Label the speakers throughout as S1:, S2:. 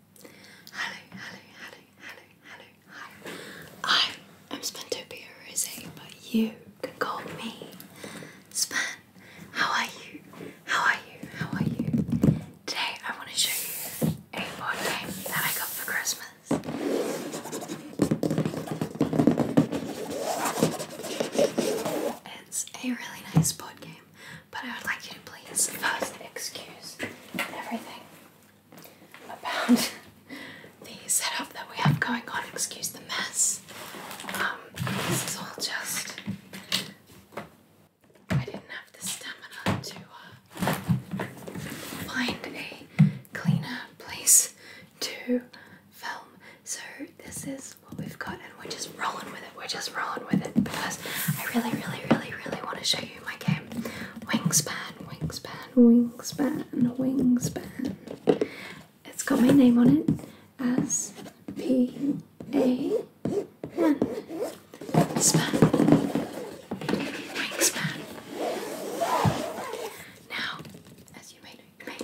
S1: Hello, hello, hello, hello, hello, hello. I am Spantopia Rose, but you can call me Span. How are you? How are you? How are you? Today I want to show you a board game that I got for Christmas. It's a really nice board game. But I would like you to please first excuse everything about the setup that we have going on. Excuse the mess. Um, this is all just. I didn't have the stamina to uh, find a cleaner place to film. So this is what we've got, and we're just rolling with it. We're just rolling with it because I really, really, really, really want to show you my game Wingspan, Wingspan, Wingspan, Wingspan. It's got my name on it as P A wingspan, Wingspan. Now, as you may know,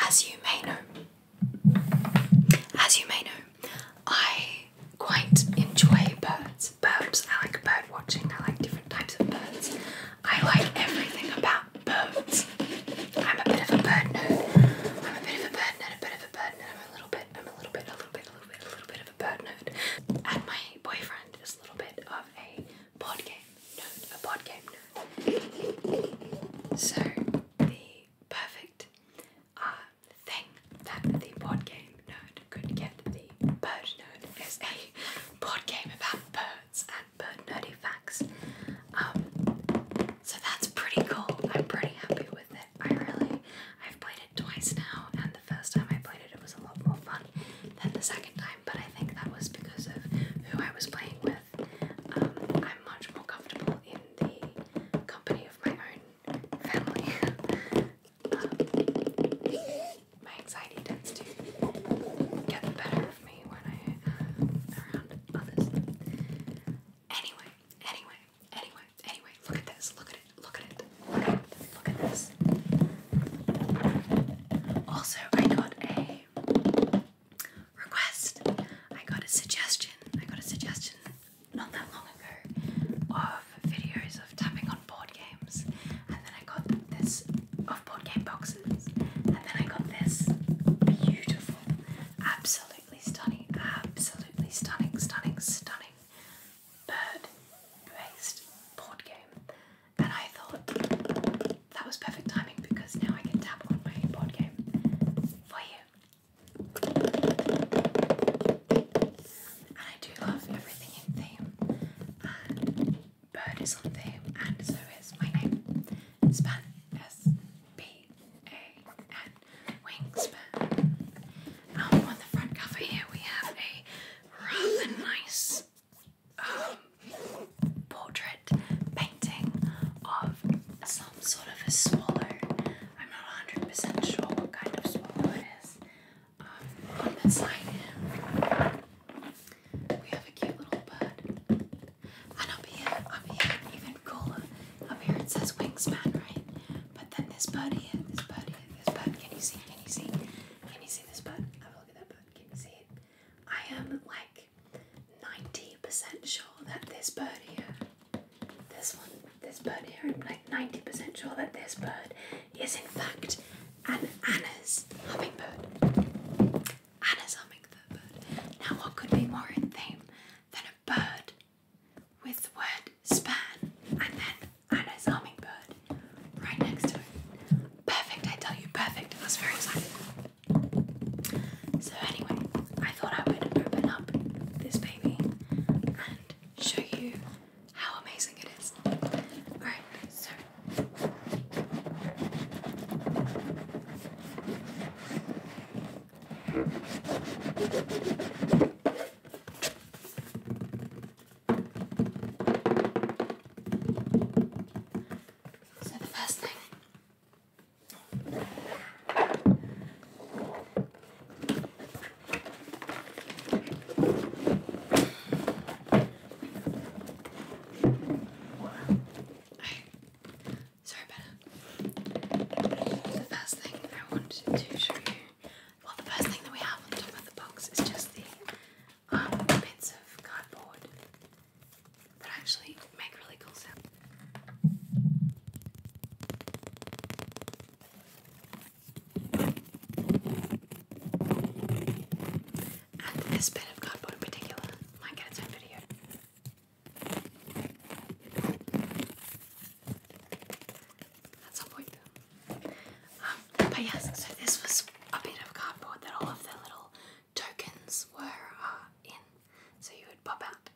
S1: as you may know, as you may know, I quite enjoy birds, birds. I like bird watching. I like different types of birds. I like everything about birds. I'm a bit of a bird nerd. I'm a bit of a bird nerd. A bit of a bird nerd. I'm a little bit. I'm a little bit. A little bit. A little bit. A little bit of a bird nerd. And my boyfriend is a little bit of a board game nerd. A board game nerd. So the perfect uh, thing that the board game nerd could get. The bird nerd is a board game about birds and bird nerdy facts. Um, so that's pretty cool. I'm pretty happy with it. I really, I've played it twice now, and the first time I played it, it was a lot more fun than the second time. But I think that was because of who I was playing with. Um, I'm much more comfortable in the company of my own family my anxiety tends to get the better of me when i around others. Anyway, anyway, anyway, anyway, look at this, look at it, look at it, look at, it, look at this. Also, I got a request, I got a suggestion, I got a suggestion not that long ago of videos of tapping on board games, and then I got this of board game boxes, and then I got this beautiful, absolutely stunning, absolutely stunning, stunning, stunning bird based board game. And I thought that was perfect timing because now I can tap on my board game for you. And I do love everything in theme, Bird is on theme, and so is my name. Span, Wingspan. Um, on the front cover here, we have a rather nice um, portrait painting of some sort of a swallow. I'm not 100% sure what kind of swallow it is. Um, on this side, we have a cute little bird. And up here, up here, even cooler. Up here it says wingspan, right? But then this bird here, this bird here, this bird. Can you see? Can you see? Can you see this bird? Have a look at that bird. Can you see it? I am like 90% sure that this bird here, this one, this bird here. I'm like 90% sure that this bird is in fact an Anna's hummingbird. Anna's hummingbird. Now, what could be more in theme than a bird with the word span and then Anna's hummingbird right next to it? Perfect, I tell you, perfect. I was very excited. So, anyway, I thought I would open up this baby and show you how amazing it is. Alright, so the first thing Sorry The first thing I wanted to show you, well, the first thing that we have on top of the box is just the um, bits of cardboard that actually make really cool sounds. And this bit of cardboard in particular might get its own video. At some point. Um, but yes, so this was a bit of cardboard that all of the little tokens were uh, in. So you would pop out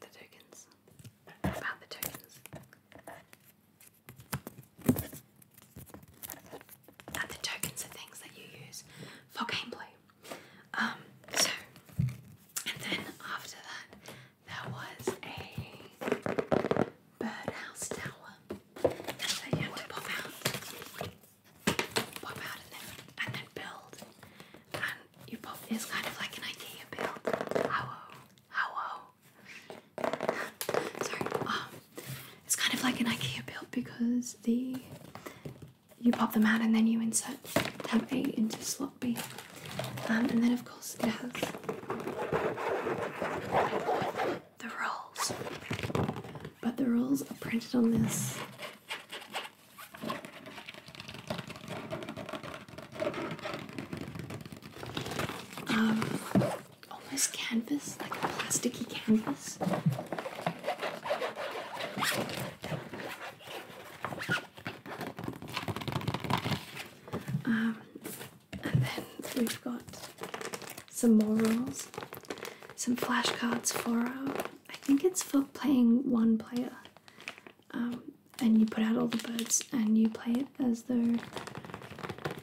S1: the tokens. About the tokens. And the tokens are things that you use for gameplay. Um, so, and then after that, there was a birdhouse tower that you had to pop out, pop out, and then, and then build. And you pop is kind of like an IKEA build. Hello, hello, Sorry. Um, it's kind of like an IKEA build because the you pop them out and then you insert tab A into slot B, um, and then of course it has the rules. But the rolls are printed on this. Um, almost oh, canvas, like a plasticky canvas. Um, and then we've got some more rules, some flashcards for uh, I think it's for playing one player. Um, and you put out all the birds and you play it. As as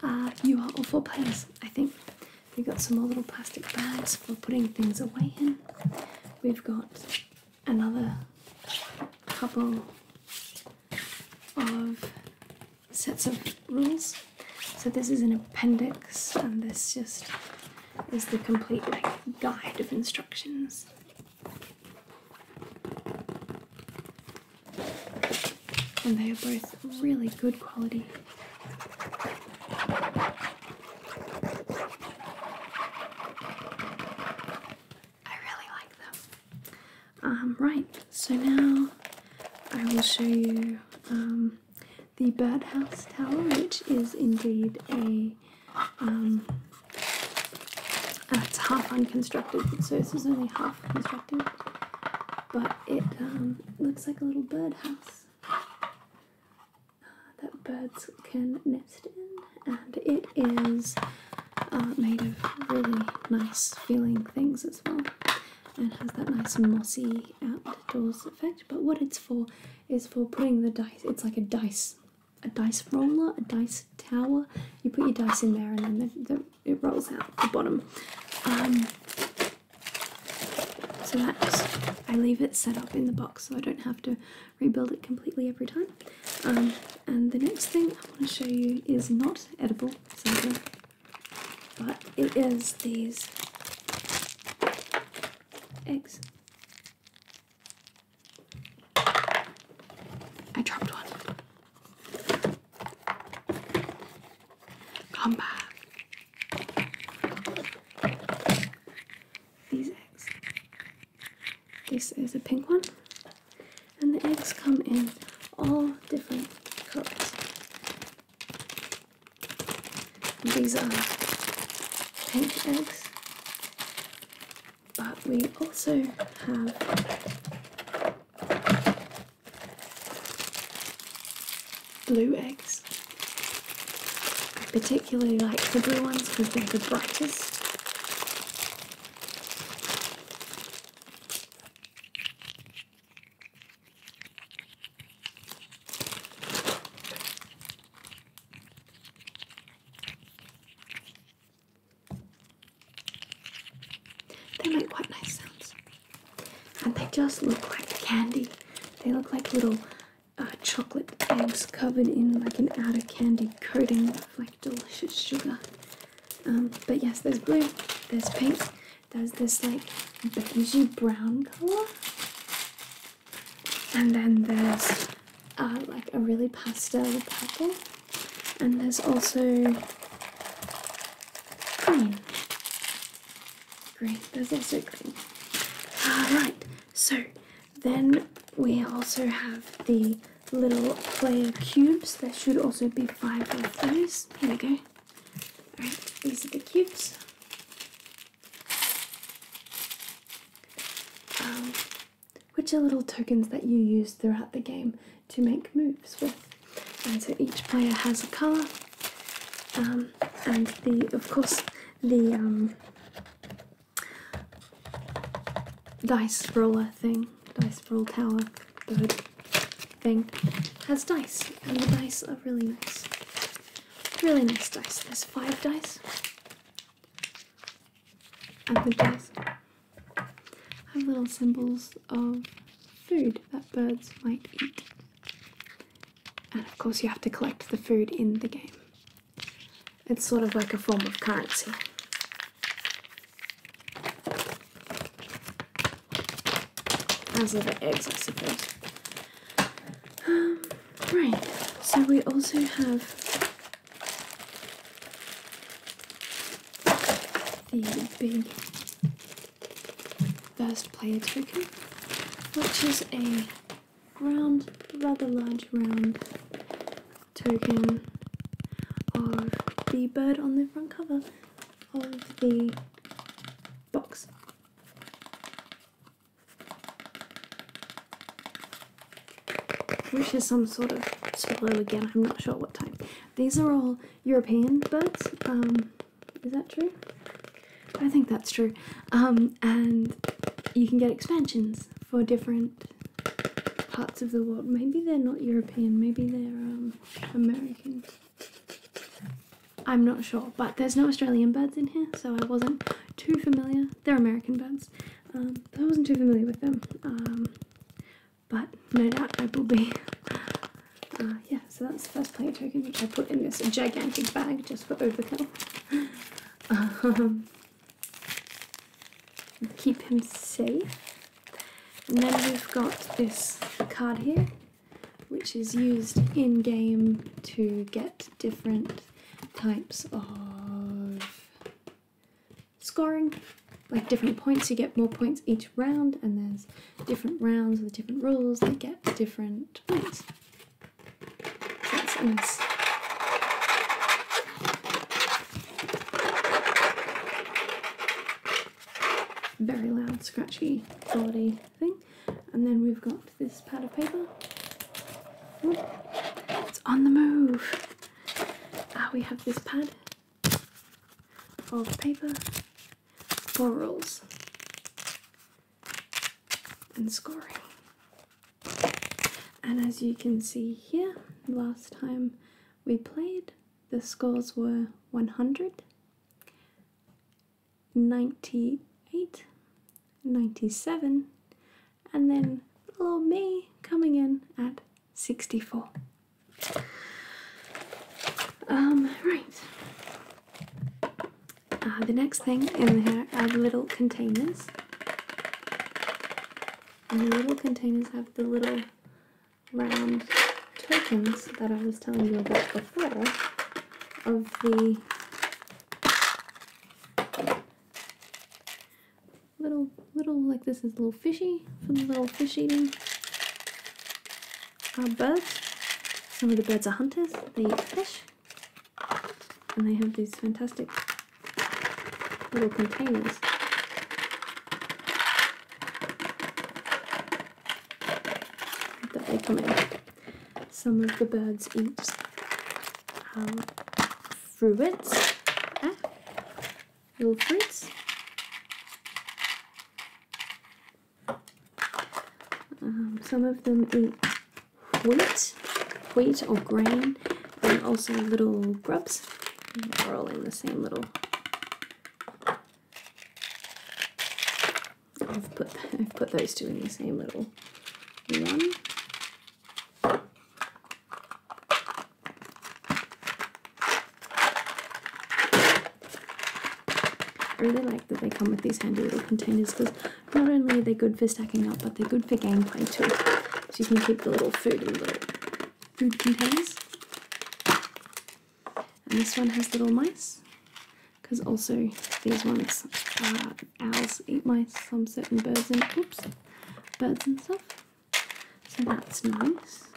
S1: uh, you are all for players, I think. We've got some more little plastic bags for putting things away in. We've got another couple of sets of rules. So this is an appendix and this just is the complete like guide of instructions and they are both really good quality. I really like them. Um, right, so now I will show you um, the birdhouse tower, which is indeed a. it's um, half unconstructed, so this is only half off, But it um, looks like a little birdhouse uh, that birds can nest in, and it is uh, made of really nice feeling things as well, and has that nice mossy outdoors effect. But what it's for is for putting the dice. It's like a dice, a dice roller, a dice tower. You put your dice in there, and then the it rolls out the bottom. Um, so that I leave it set up in the box so I don't have to rebuild it completely every time. Um, and the next thing I want to show you is not edible, sadly, but it is these eggs. I dropped one. Come back. These eggs. This is a pink one, and the eggs come in all different colors. These are pink eggs, but we also have blue eggs. I particularly like the blue ones because they're the brightest. They make quite nice sounds. And they just look like candy. They look like little uh, chocolate eggs covered in like an outer candy coating of like delicious sugar. Um, but yes, there's blue, there's pink, there's this like beige brown color, and then there's uh, like a really pastel purple, and there's also green. Green, there's also green. Alright, so then we also have the little player cubes. There should also be five of those. Here we go. Alright, these are the cubes. Um, which are little tokens that you use throughout the game to make moves with. And so each player has a colour, um, and the of course the um, dice roller thing, dice roll tower bird thing, has dice, and the dice are really nice. Really nice dice. There's five dice. And the dice have little symbols of food that birds might eat. And of course, you have to collect the food in the game. It's sort of like a form of currency. As are the eggs, I suppose. Um, right, so we also have the big first player token, which is a round, rather large round token of the bird on the front cover of the box. Which is some sort of slow again, I'm not sure what time. These are all European birds. Um, is that true? I think that's true. Um, and you can get expansions for different parts of the world. Maybe they're not European, maybe they're um, American. I'm not sure, but there's no Australian birds in here, so I wasn't too familiar. They're American birds. Um, I wasn't too familiar with them. Um, but no doubt I will be. Uh, yeah, so that's the first player token which I put in this gigantic bag just for overkill. Um, keep him safe. And then we've got this card here, which is used in game to get different types of scoring. Like different points, you get more points each round, and there's different rounds with different rules, they get different points. Very loud, scratchy, quality thing. And then we've got this pad of paper. Ooh, it's on the move. Ah, we have this pad of paper rules and scoring. And as you can see here, last time we played, the scores were 100, 98, 97, and then little me coming in at 64. Um, right. Uh, the next thing in here are the little containers. And the little containers have the little round tokens that I was telling you about before of the little, little, like this is a little fishy for the little fish eating are uh, birds. Some of the birds are hunters, they eat fish, and they have these fantastic little containers. Some of the birds eat um, fruits, eh? little fruits, um, some of them eat wheat, wheat or grain, and also little grubs. They're all in the same little. I've put I've put those two in the same little one. I really like that they come with these handy little containers because not only are they good for stacking up, but they're good for gameplay too. So you can keep the little food in little food containers. And this one has little mice because also these ones uh, owls eat mice, some certain birds and oops, birds and stuff. So that's nice.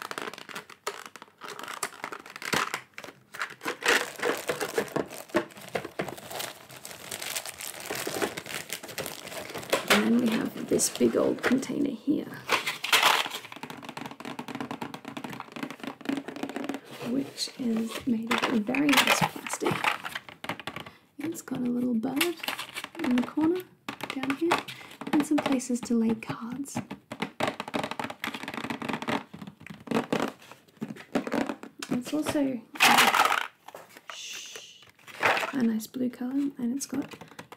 S1: And then we have this big old container here. Which is made of very nice plastic. It's got a little bird in the corner down here and some places to lay cards. It's also a nice blue colour and it's got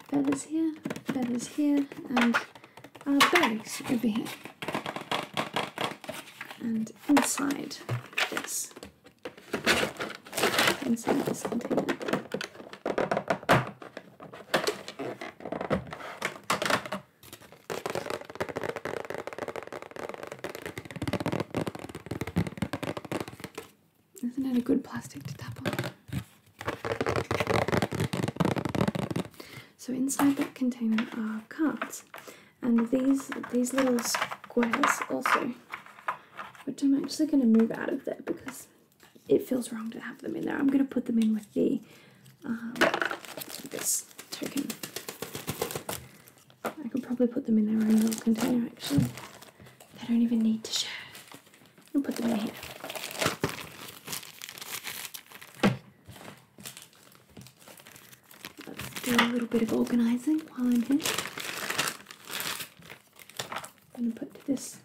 S1: feathers here, feathers here, and our berries over here. And inside this, inside this container, isn't it a good plastic to tap on? So inside that container are cards, and these these little squares also, which I'm actually going to move out of there because it feels wrong to have them in there. I'm going to put them in with the uh-huh. this token. I could probably put them in their own little container actually. They don't even need to share. I'll put them in here. Let's do a little bit of organising while I'm here. I'm going to put this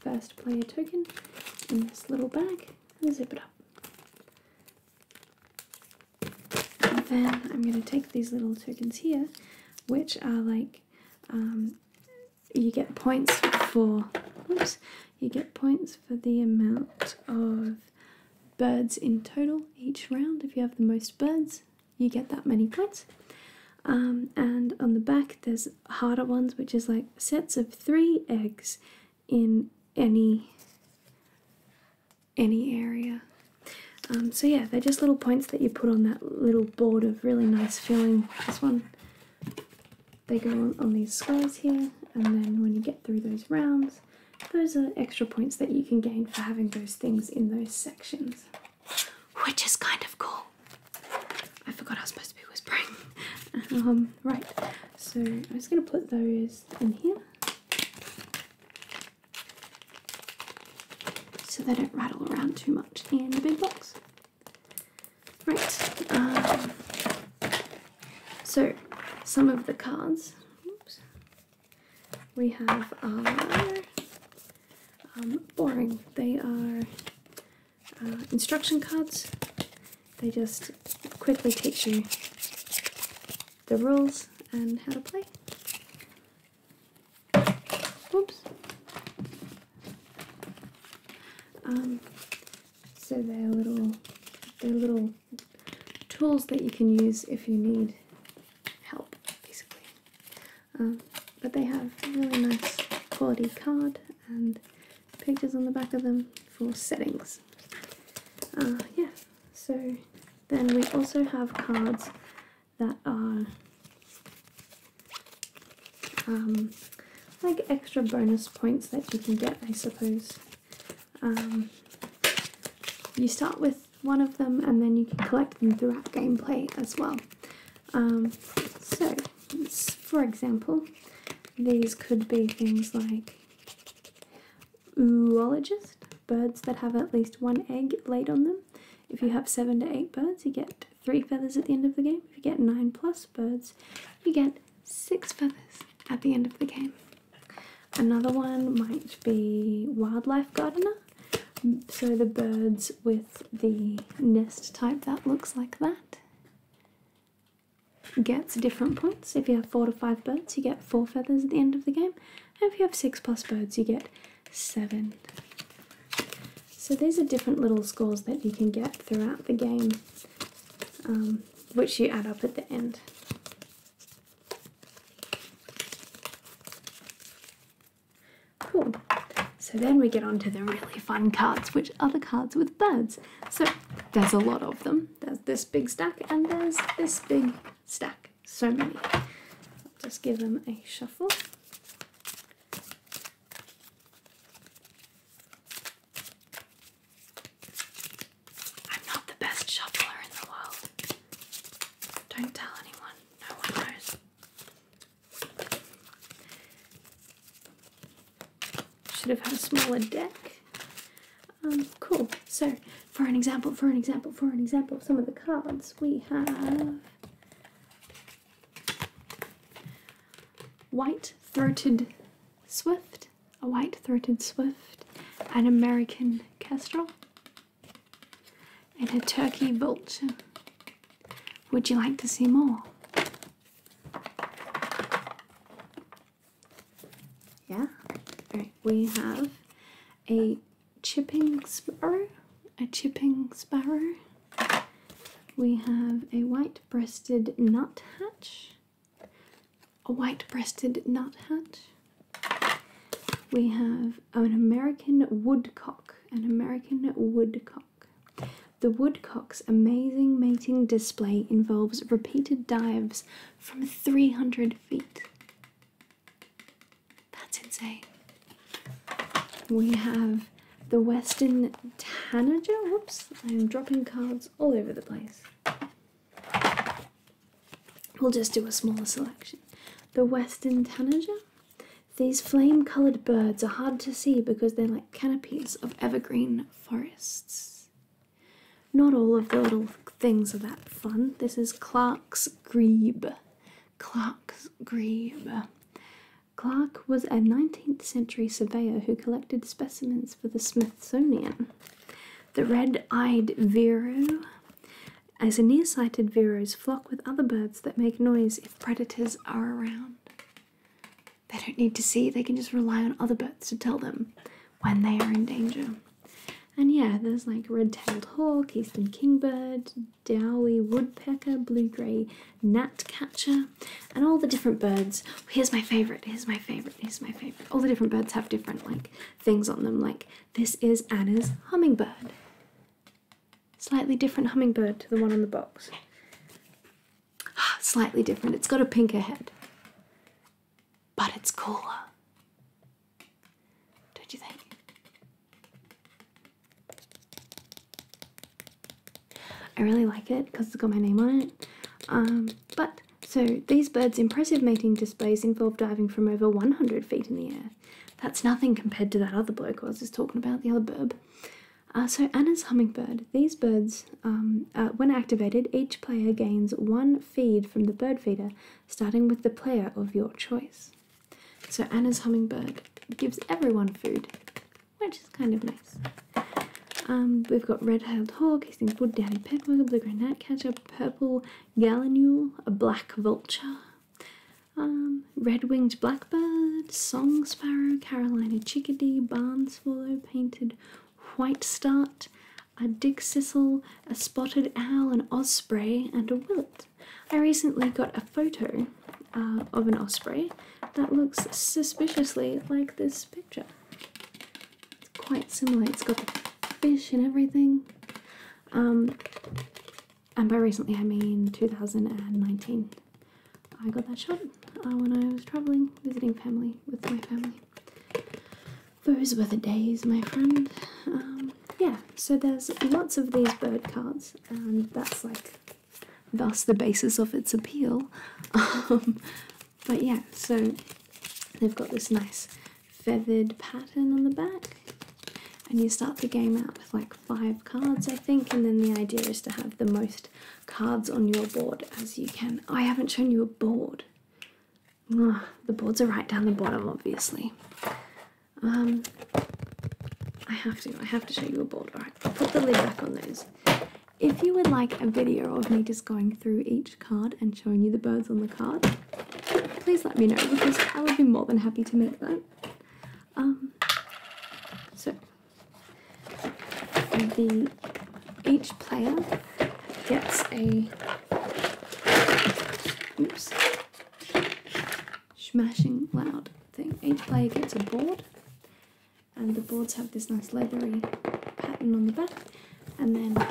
S1: first player token in this little bag and zip it up. then I'm going to take these little tokens here, which are like um, you get points for. Oops, you get points for the amount of birds in total each round. If you have the most birds, you get that many points. Um, and on the back, there's harder ones, which is like sets of three eggs in any any area. Um, so yeah, they're just little points that you put on that little board of really nice feeling. This one, they go on, these squares here, and then when you get through those rounds, those are extra points that you can gain for having those things in those sections, which is kind of cool. I forgot I was supposed to be whispering. Um, right, so I'm just going to put those in here so they don't rattle around too much in the big box. Right, um, so some of the cards we have are um, boring. They are uh, instruction cards. They just quickly teach you the rules and how to play. Oops. Um, so they're little, they're little tools that you can use if you need help, basically. Uh, but they have really nice quality card and pictures on the back of them for settings. Uh, yeah, so then we also have cards that are um, like extra bonus points that you can get, I suppose. Um, you start with one of them and then you can collect them throughout gameplay as well. Um, so, for example, these could be things like oologist, birds that have at least one egg laid on them. If you have seven to eight birds, you get three feathers at the end of the game. If you get nine plus birds, you get six feathers at the end of the game. Another one might be wildlife gardener. So the birds with the nest type that looks like that gets different points. If you have four to five birds, you get four feathers at the end of the game, and if you have six plus birds, you get seven. So these are different little scores that you can get throughout the game, um, which you add up at the end. So then we get on to the really fun cards, which are the cards with birds. So there's a lot of them. There's this big stack and there's this big stack. So many. just give them a shuffle. I'm not the best shuffler in the world. Don't tell anyone. No one knows. Should have had a smaller deck. Um, cool. So, for an example, for an example, for an example some of the cards, we have White Throated Swift, a White Throated Swift, an American Kestrel, and a Turkey Vulture. Would you like to see more? Yeah. we have a chipping sparrow. A chipping sparrow. We have a white breasted nuthatch. A white breasted nuthatch. We have an American woodcock. An American woodcock. The woodcock Peacock's amazing mating display involves repeated dives from 300 feet. That's insane. We have the Western Tanager. Whoops, I'm dropping cards all over the place. We'll just do a smaller selection. The Western Tanager. These flame coloured birds are hard to see because they're like canopies of evergreen forests. Not all of the little things are that fun. This is Clark's Grebe. Clark's Grebe. Clark was a 19th century surveyor who collected specimens for the Smithsonian. The red eyed vireo, as nearsighted vireos flock with other birds that make noise if predators are around. They don't need to see, they can just rely on other birds to tell them when they are in danger. And yeah, there's like red tailed hawk, eastern kingbird, dowey woodpecker, blue grey gnatcatcher, and all the different birds. Here's my favourite, here's my favourite, here's my favourite. All the different birds have different like things on them, like this is Anna's hummingbird. Slightly different hummingbird to the one on the box. Slightly different. It's got a pinker head. But it's cooler. Don't you think? I really like it because it's got my name on it. Um, but so these birds' impressive mating displays involve diving from over 100 feet in the air. That's nothing compared to that other bloke I was just talking about, the other bird. Uh, so Anna's hummingbird. These birds um, uh, when activated, each player gains one feed from the bird feeder, starting with the player of your choice. So Anna's hummingbird gives everyone food, which is kind of nice. Um, we've got red-tailed hawk, he sings wood downy peddler, blue-green gnatcatcher, purple gallinule, a black vulture, um, red-winged blackbird, song sparrow, Carolina chickadee, barn swallow, painted white start, a dig sissel, a spotted owl, an osprey, and a willet. I recently got a photo uh, of an osprey that looks suspiciously like this picture. It's quite similar, it's got the fish and everything. Um, and by recently, I mean 2019. I got that shot uh, when I was traveling, visiting family with my family those were the days, my friend. Um, yeah, so there's lots of these bird cards, and that's like thus the basis of its appeal. Um, but yeah, so they've got this nice feathered pattern on the back, and you start the game out with like five cards, I think, and then the idea is to have the most cards on your board as you can. I haven't shown you a board the boards are right down the bottom, obviously. Um, I have to, I have to show you a board. Alright, put the lid back on those. If you would like a video of me just going through each card and showing you the birds on the card, please let me know because I would be more than happy to make that. Um, so, the each player gets a oops smashing loud thing. Each player gets a board and the boards have this nice leathery pattern on the back and then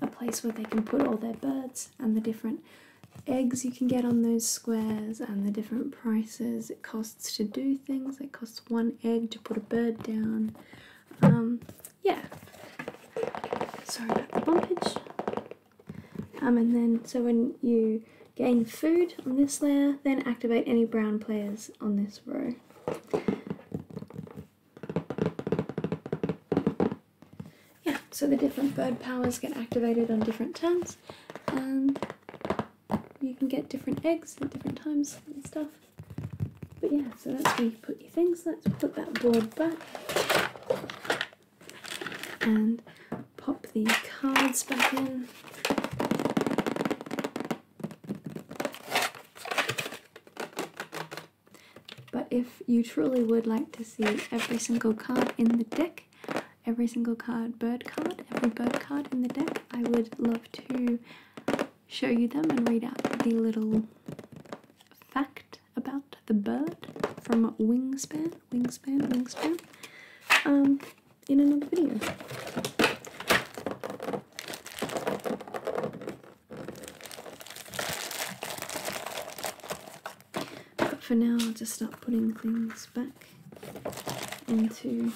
S1: a place where they can put all their birds and the different eggs you can get on those squares and the different prices it costs to do things. It costs one egg to put a bird down um, yeah. Sorry about the bumpage. Um, and then, so when you gain food on this layer, then activate any brown players on this row. Yeah, so the different bird powers get activated on different turns, and you can get different eggs at different times and stuff. But yeah, so that's where you put your things. Let's put that board back and pop the cards back in. But if you truly would like to see every single card in the deck, every single card bird card, every bird card in the deck, I would love to show you them and read out the little fact about the bird from Wingspan, Wingspan, Wingspan, um, in another video. But for now, I'll just start putting things back into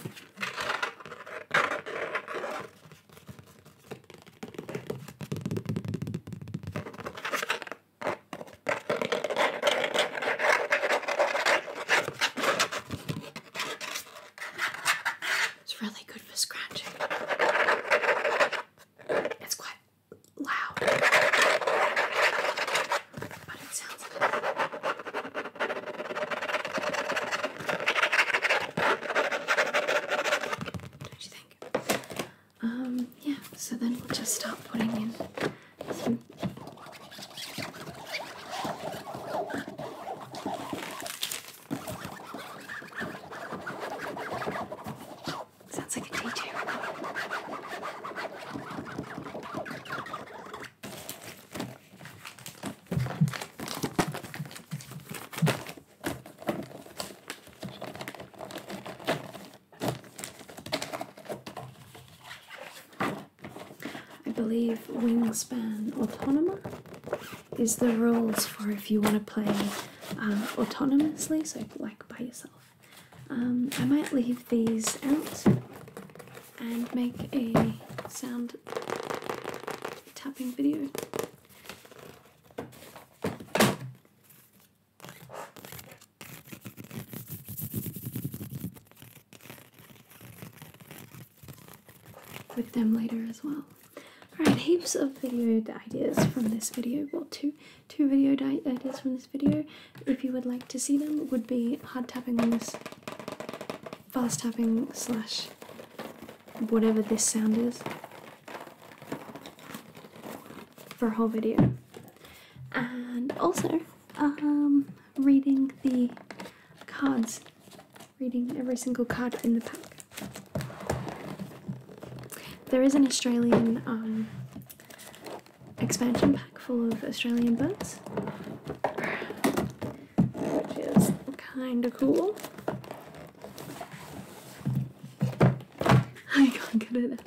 S1: it's really good for scratching. It's quite loud, but it sounds um, yeah, so then we'll just start putting in Sounds like a DJ I believe Wingspan Autonoma is the rules for if you want to play uh, autonomously, so like by yourself. Um, I might leave these out and make a sound tapping video with them later as well. Alright, heaps of video ideas from this video. Well, two, two video ideas from this video. If you would like to see them, would be hard tapping on this fast tapping slash whatever this sound is for a whole video. And also, um, reading the cards, reading every single card in the pack. There is an Australian um, expansion pack full of Australian birds which is kind of cool. I can't get it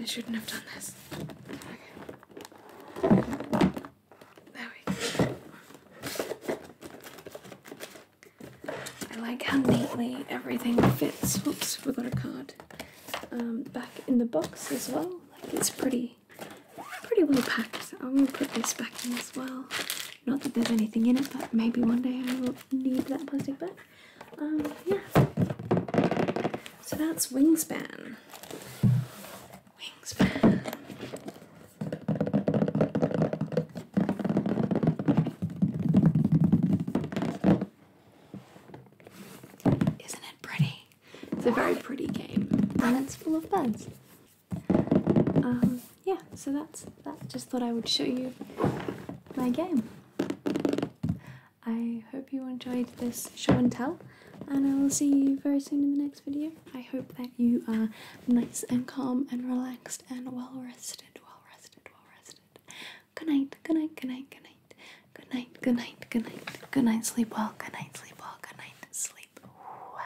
S1: I shouldn't have done this. There we go. I like how neatly everything fits. Whoops, forgot a card. Um, back in the box as well. Like it's pretty, pretty well packed. I'm gonna put this back in as well. Not that there's anything in it, but maybe one day I will need that plastic bag. Um, yeah. So that's Wingspan. Wingspan. Isn't it pretty? It's a very pretty game, and it's full of bugs. Um, yeah, so that's that. Just thought I would show you my game. I hope you enjoyed this show and tell, and I will see you very soon in the next video. I hope that you are nice and calm and relaxed and well rested, well rested, well rested. Good night, good night, good night, good night, good night, good night, good night, good night. Sleep well, good night, sleep well, good night, sleep well.